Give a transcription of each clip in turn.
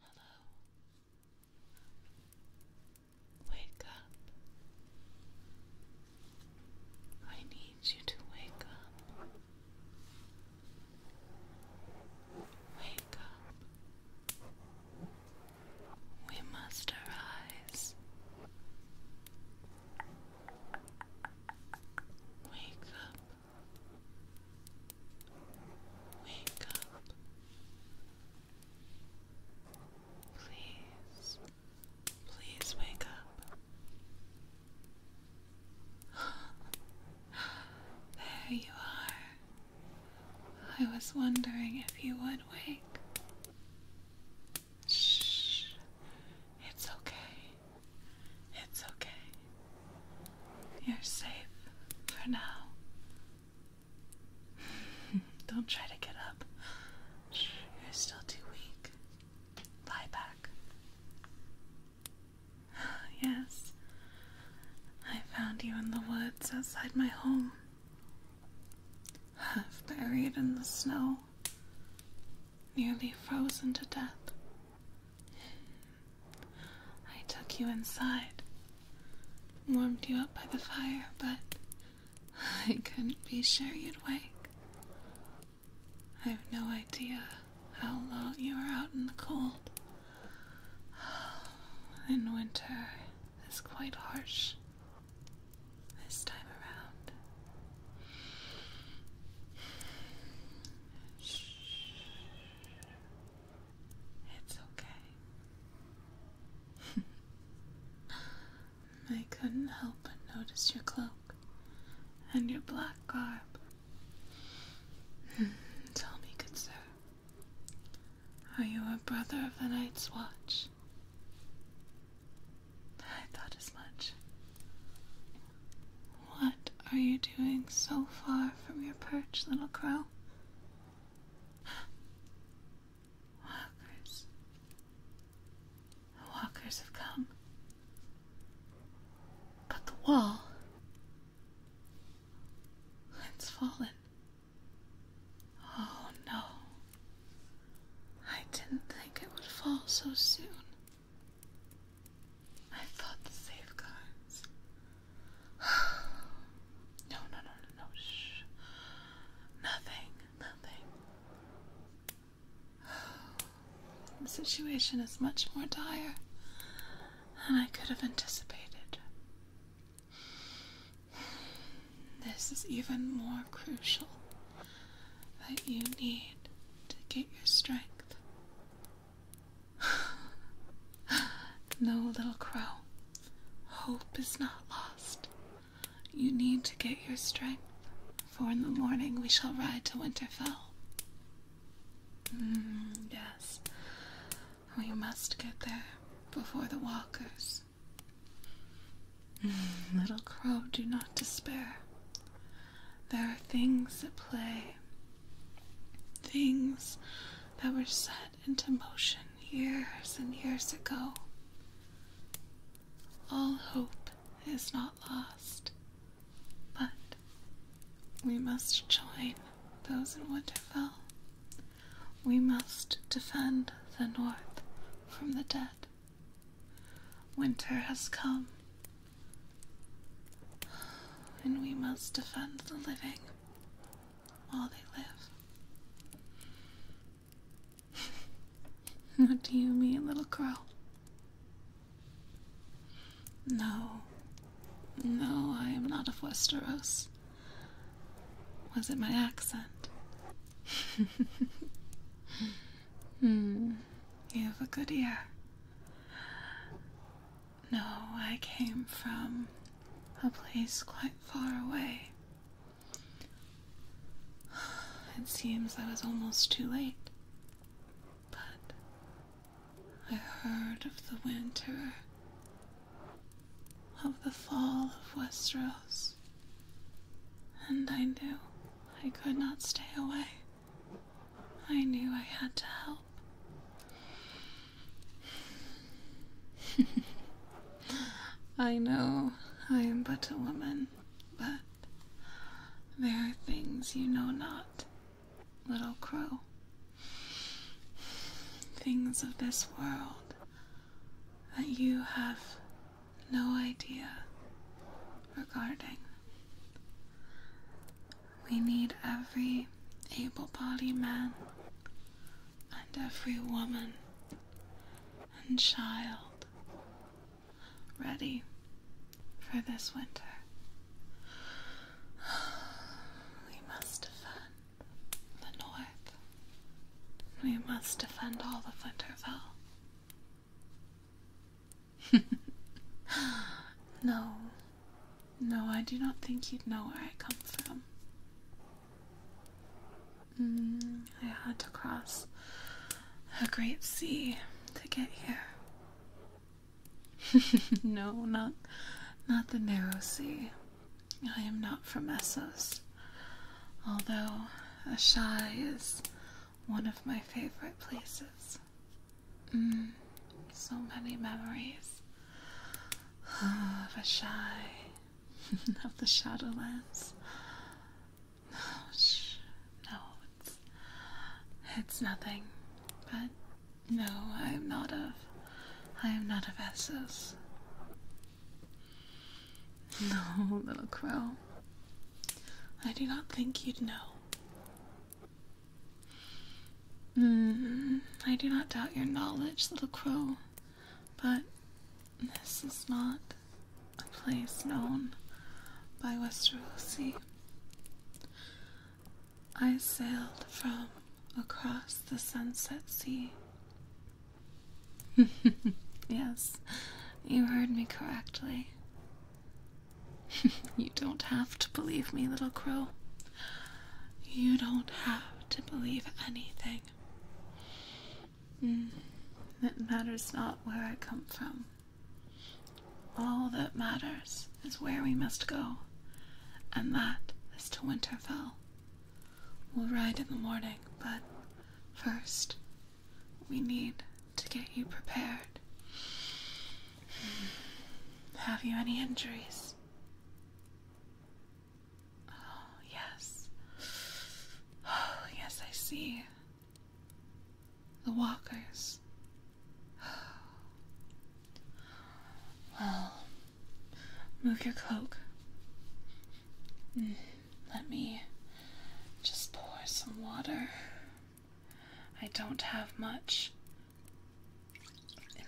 Hello. Wake up. I need you to wake up. Wake up. We must arise. Wake up. Wake up. Please. Please wake up. there you are. I was wondering if you would wake. Shh. It's okay. It's okay. You're safe for now. Don't try to get up. You're still too weak. Lie back. Yes, I found you in the woods outside my home. half Buried in the snow nearly frozen to death. I took you inside, warmed you up by the fire, but I couldn't be sure you'd wake. I have no idea how long you were out in the cold. In winter it's quite harsh this time around. It's okay. I couldn't help but notice your cloak and your black garb. Tell me, good sir, are you a brother of the Night's Watch? I thought as much. What are you doing so far from your perch, little crow? Walkers. The walkers have come. But the wall. It's fallen. Oh no. I didn't think it would fall so soon. I thought the safeguards. no, no, no, no, Shh. Nothing, nothing. The situation is much more dire than I could have anticipated. This is even more crucial that you need to get your strength. no, little crow, hope is not lost. You need to get your strength, for in the morning we shall ride to Winterfell. Mm, yes, we must get there before the walkers Little crow, do not despair. There are things at play, things that were set into motion years and years ago. All hope is not lost, but we must join those in Winterfell. We must defend the North from the dead. Winter has come, and we must defend the living while they live. what do you mean, little crow? No, no, I am not of Westeros. Was it my accent? Hmm. You have a good ear. No, I came from a place quite far away. It seems I was almost too late. But I heard of the winter, of the fall of Westeros. And I knew I could not stay away. I knew I had to help. I know I am but a woman, but there are things you know not, little crow. Things of this world that you have no idea regarding. We need every able bodied man and every woman and child ready for this winter. We must defend the north. We must defend all of Winterfell. no. No, I do not think you'd know where I come from. Mm, I had to cross a great sea to get here. no, not not the narrow sea. I am not from Essos, although Ashai is one of my favorite places. Mm, so many memories of Ashai, of the Shadowlands. No, it's, it's nothing. But no, I am not of, I am not of Essos. No, little crow. I do not think you'd know. Mm, I do not doubt your knowledge, little crow, but this is not a place known by Westerosi. I sailed from across the sunset sea yes, you heard me correctly. you don't have to believe me, little crow. You don't have to believe anything. Mm, it matters not where I come from. All that matters is where we must go, and that is to Winterfell. We'll ride in the morning, but first, we need to get you prepared. Have you any injuries? Oh, yes. Oh, yes, I see. The walkers. Well, Move your cloak. Mm, let me just pour some water. I don't have much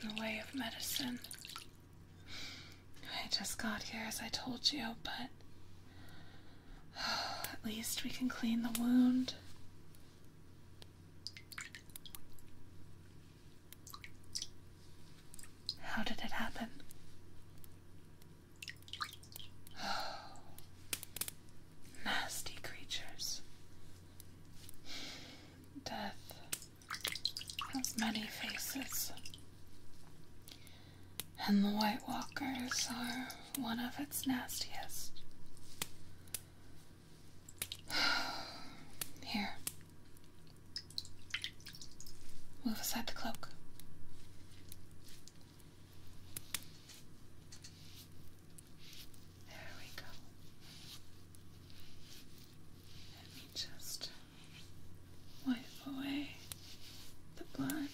in the way of medicine. I just got here, as I told you, but at least we can clean the wound. How did it happen? nasty creatures. Death has many faces, and the White Walkers are one of its nastiest. Here. Move aside the cloak. There we go. Let me just wipe away the blood.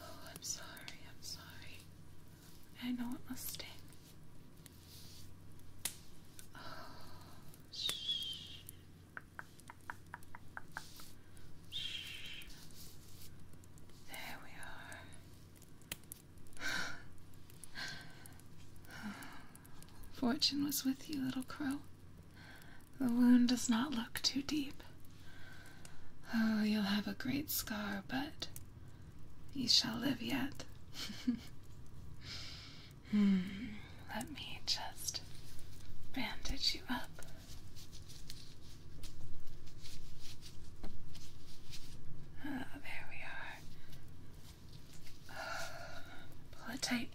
Oh, I'm sorry, I'm sorry. I know it must sting. Shh. There we are. Fortune was with you, little crow. The wound does not look too deep. Oh, you'll have a great scar, but you shall live yet. Hmm, let me just bandage you up. Ah, there we are. Pull it tight.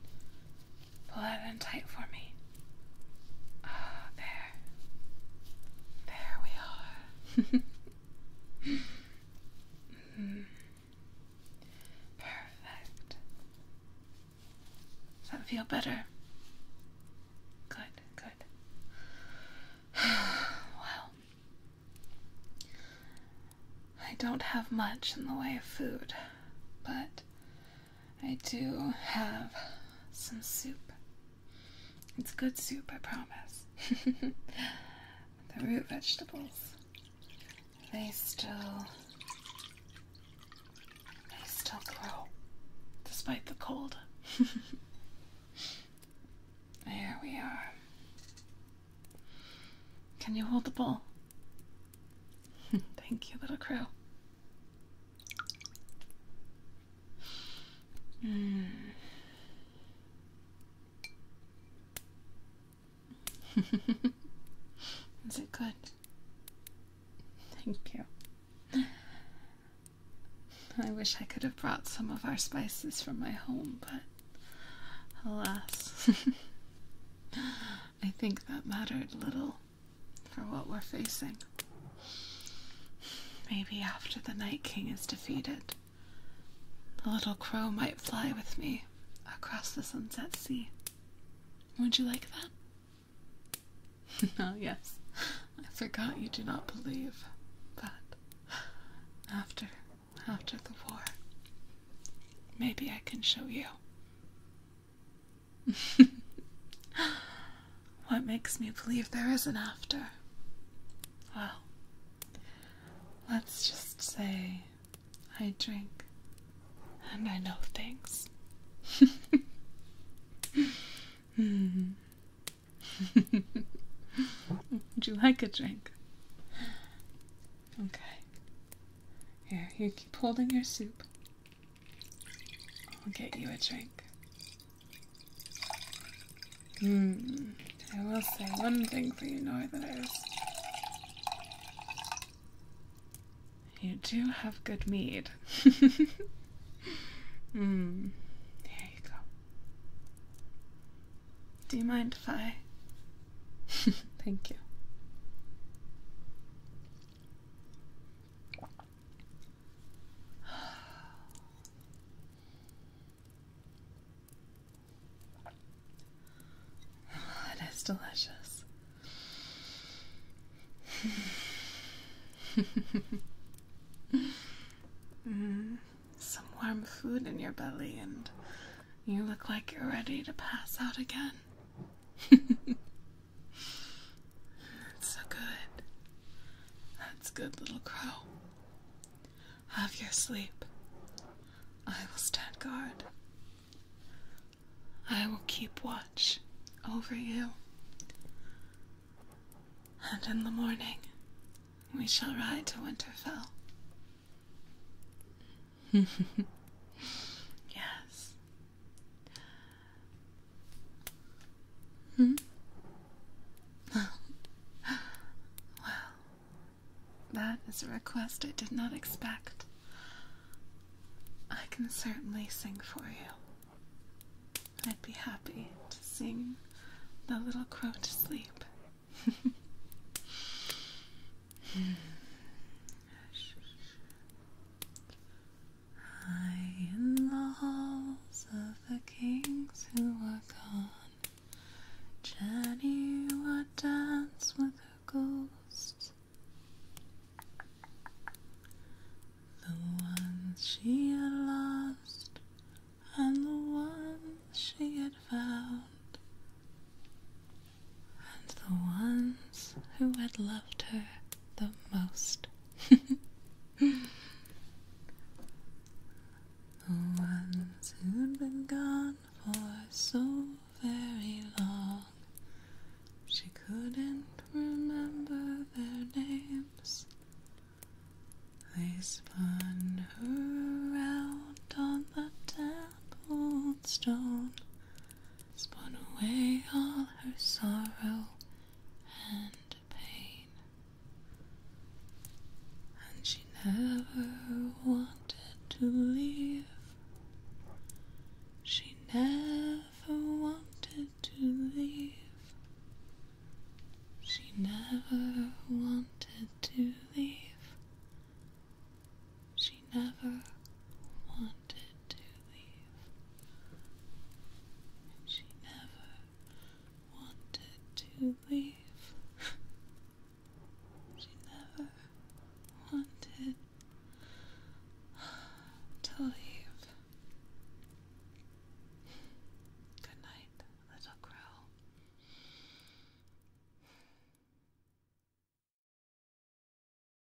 Pull it in tight for me. Ah, there. There we are. Perfect. Does that feel better? Good, good. well, I don't have much in the way of food, but I do have some soup it's good soup, I promise. the root vegetables, they still. They still grow, despite the cold. there we are. Can you hold the bowl? Thank you, little crow. Hmm. Is it good? Thank you. I wish I could have brought some of our spices from my home, but alas, I think that mattered little for what we're facing. Maybe after the Night King is defeated, the little crow might fly with me across the sunset sea. Would you like that? oh, yes. I forgot you do not believe. that. after, after the war, maybe I can show you. What makes me believe there is an after? Well, let's just say I drink and I know things. Hmm. Would you like a drink? Okay. Here, you keep holding your soup. I'll get you a drink. Hmm. I will say one thing for you, know that is. You do have good mead. Hmm. Here you go. Do you mind if I? Thank you. Oh, it is delicious. Mm, some warm food in your belly, and you look like you're ready to pass out again. so good. That's good, little crow. Have your sleep. I will stand guard. I will keep watch over you. And in the morning, we shall ride to Winterfell. yes. Hmm? well, that is a request I did not expect. I can certainly sing for you. I'd be happy to sing the little crow to sleep. Hmm. High in the halls of the kings who are gone, Jenny would dance with her ghosts, the ones she had lost and the ones she had found, and the ones who had loved her the most. The ones who'd been gone for so very long, she couldn't remember their names. They spun her around on the temple stone, spun away all her sorrow and pain. And she never wanted to leave. She never wanted to leave. She never wanted to leave. She never wanted to leave. she never wanted to leave. she never wanted to leave. Good night, little crow.